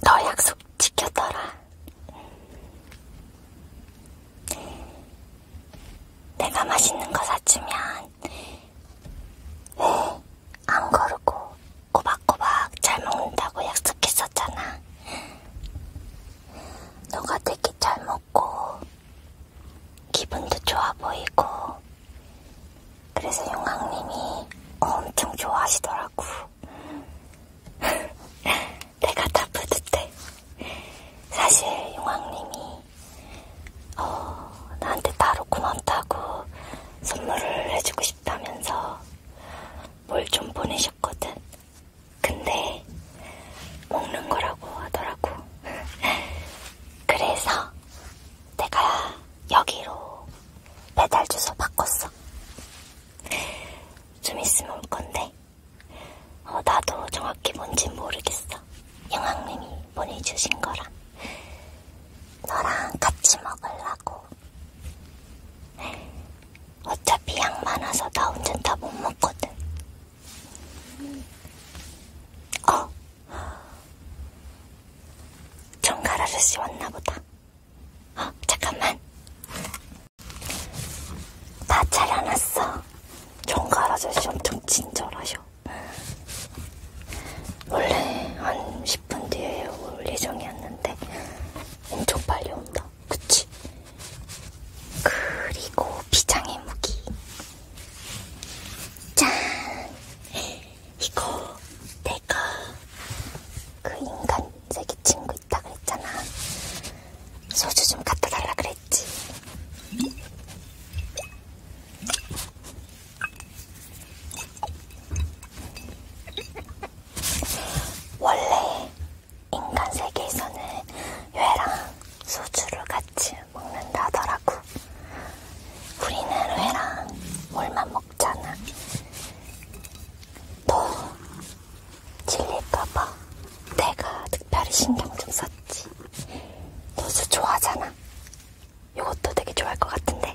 너 약속 지켰더라. 내가 맛있는 거 사주면 안 거르고 꼬박꼬박 잘 먹는다고 약속했었잖아. 너가 되게 잘 먹고 기분도 좋아 보이고 그래서 용왕님이 엄청 좋아하시더라고. 내가 다 뿌듯해. 사실 용왕님이 어, 나한테 따로 고맙다고 선물을 해주고 싶다면서 뭘 좀 보내셨거든. 근데 먹는 거라고 하더라고. 그래서 내가 여기로 배달 주소 바꿨어. 좀 있으면 올 건데 어, 나도 정확히 뭔진 모르겠어. 영학님이 보내주신 거라. 너랑 같이 먹으려고. 어차피 양 많아서 나 혼자 다 못 먹거든. 어! 정갈 아저씨 왔나보다. 어, 잠깐만. 다 차려놨어. 정갈 아저씨 엄청 친절하셔. 원래 한 10분 뒤에 올 예정이었는데 엄청 빨리 온다. 그치? 그리고 비장의 무기. 짠! 이거 내가 그 인간 세계 친구 있다 그랬잖아. 소주 좀 갖다 달라 그랬지. 원래 인간 세계에서는 회랑 소주를 같이 먹는다더라고. 우리는 회랑 물만 먹잖아. 너 질릴까봐 내가 특별히 신경 좀 썼지. 너도 좋아하잖아. 이것도 되게 좋아할 것 같은데.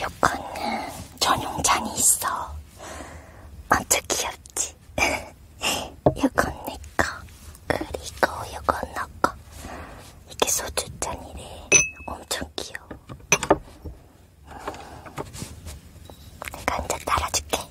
요거는 전용 잔이 있어. 완전 귀엽지? 요건 내꺼. 그리고 요건 너꺼. 이게 소주잔이래. 엄청 귀여워. 음, 내가 이제 따라줄게.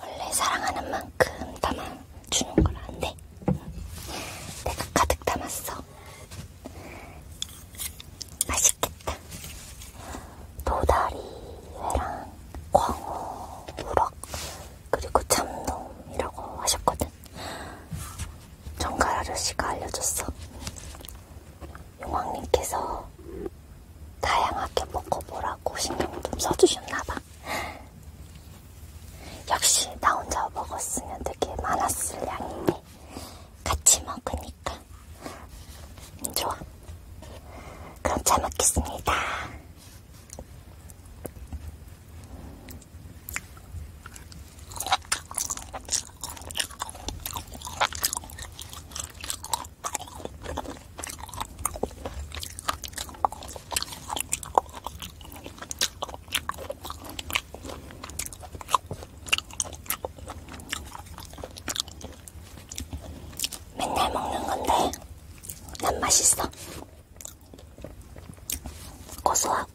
원래 사랑하는 만큼 담아주는 건안 돼. 내가 가득 담았어. 맛있겠다. 도다리회랑 광어, 우럭, 그리고 참돔이라고 하셨거든. 정갈 아저씨가 알려줬어. 용왕님께서 다양하게 먹어보라고 신경을 좀 써주셨나봐. 맛있다. 역시 나 혼자 먹었으면 되게 많았을 양인데 같이 먹으니까 음, 좋아. 그럼 잘 먹겠습니다. 맨날 먹는 건데 난 맛있어. 고소하고.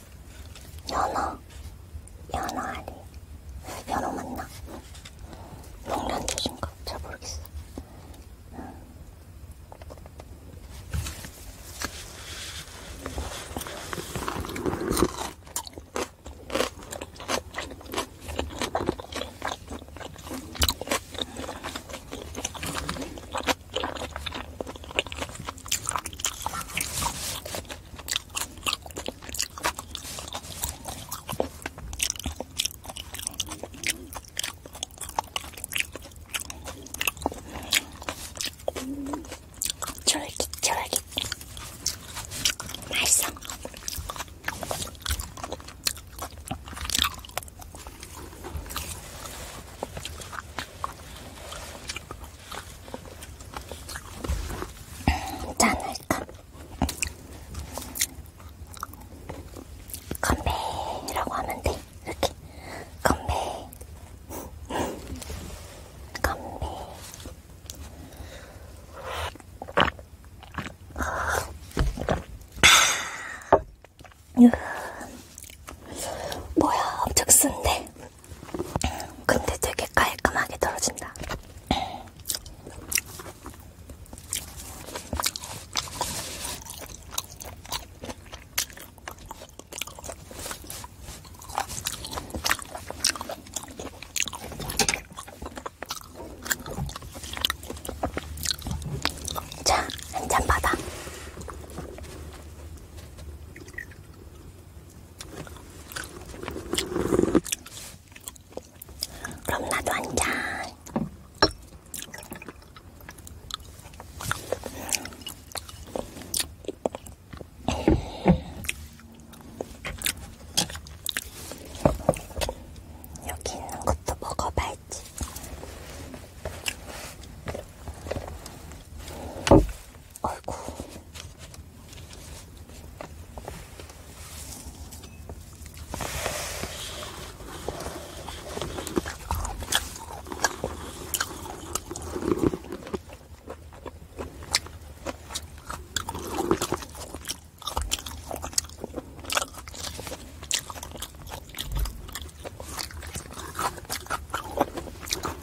연어, 연어 아니, 연어 맞나? 동란젓인가? 잘 모르겠어. 음. 쫄깃 쫄깃 맛있어 짠할까? 건배라고 하면 돼. 이렇게. 건배. 건배. 아. 뭐야, 엄청 쓴데. 근데 되게 깔끔하게 떨어진다. 자, 한 잔 받아. 그럼 나도 한 잔. 여기 있는 것도 먹어봐야지. 아이고.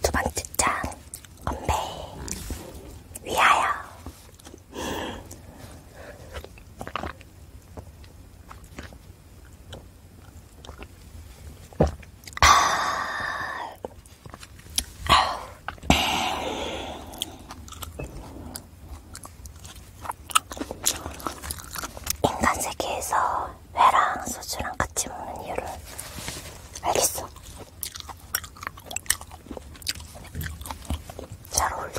두번째 짠 건배 위하여 인간 세계에서 회랑 소주랑 같이 먹는 이유를 알겠어. 잘 어울리네.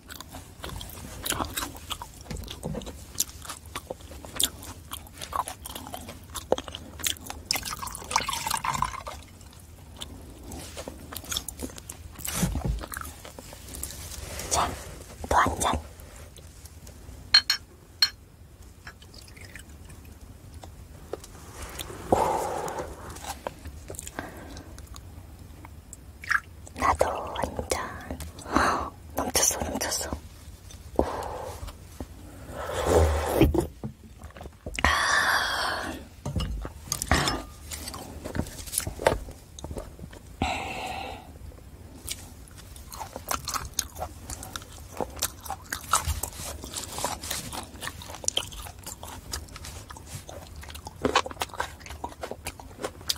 자, 또한 잔. 오. 나도 완전 넘쳤어 넘쳤어 오. 아.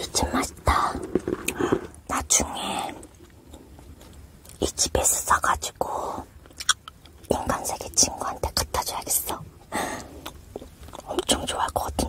요즘 맛있다. 나중에 이 집에서 사가지고 인간세계 친구한테 갖다 줘야겠어. 엄청 좋아할 것 같은데.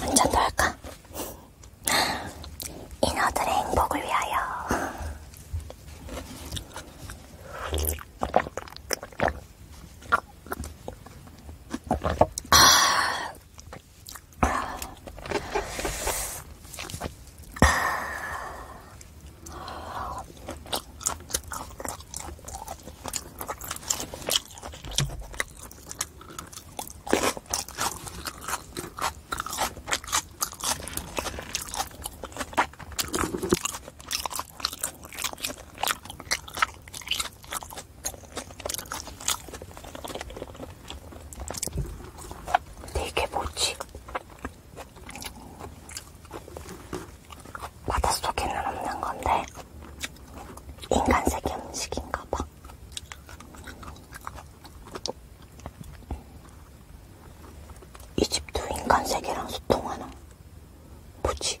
한잔 더 할까? 인어들의 행복을 위하여 근데 이게 뭐지? 바닷속에는 없는 건데 인간 세계 음식인가 봐. 이 집도 인간 세계랑 소통하나? 뭐지?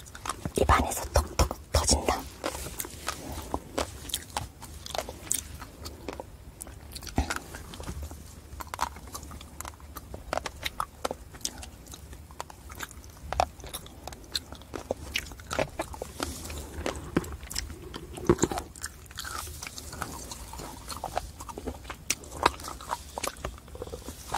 입안에서 톡톡 터진다.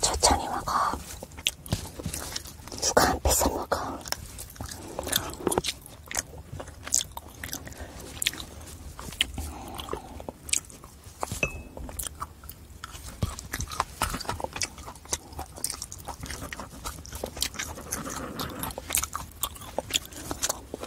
천천히 먹어. 누가 안 뺏어 먹어.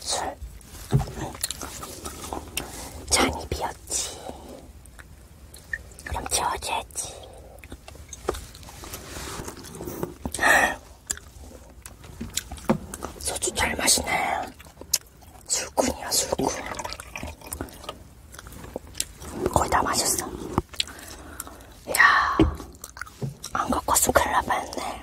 술 잔이 비었지. 그럼 채워줘야지. 소주 잘 마시네. 술꾼이야, 술꾼. 거의 다 마셨어. 이야, 안 갖고 왔으면 큰일 날 뻔했네.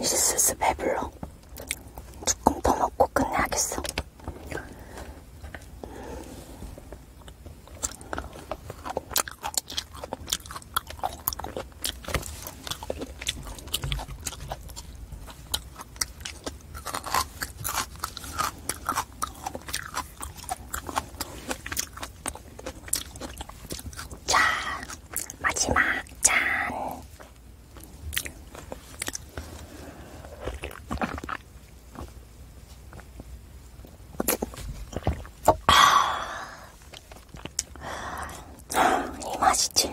이제 슬슬 배불러. 조금 더 먹고 끝내야겠어. 자, 마지막 짠. 이 맛이지.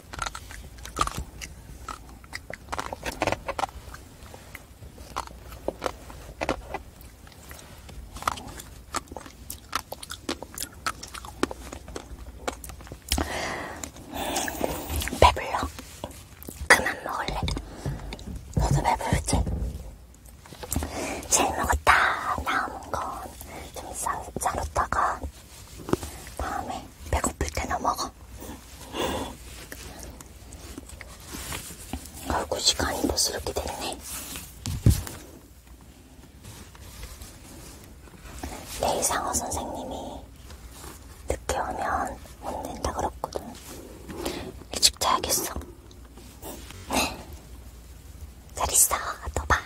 배불러. 그만 먹을래. 너도 배부르지? 제일 먹었다. 남은 건좀 싸, 싸놓다가 다음에 배고플 때나 먹어. 아이고 시간이 벌써 이렇게 됐네. 내일 상어 선생님이 늦게 오면 못 낸다 그랬거든. 일찍 자야겠어. 네. 잘 있어. 또 봐.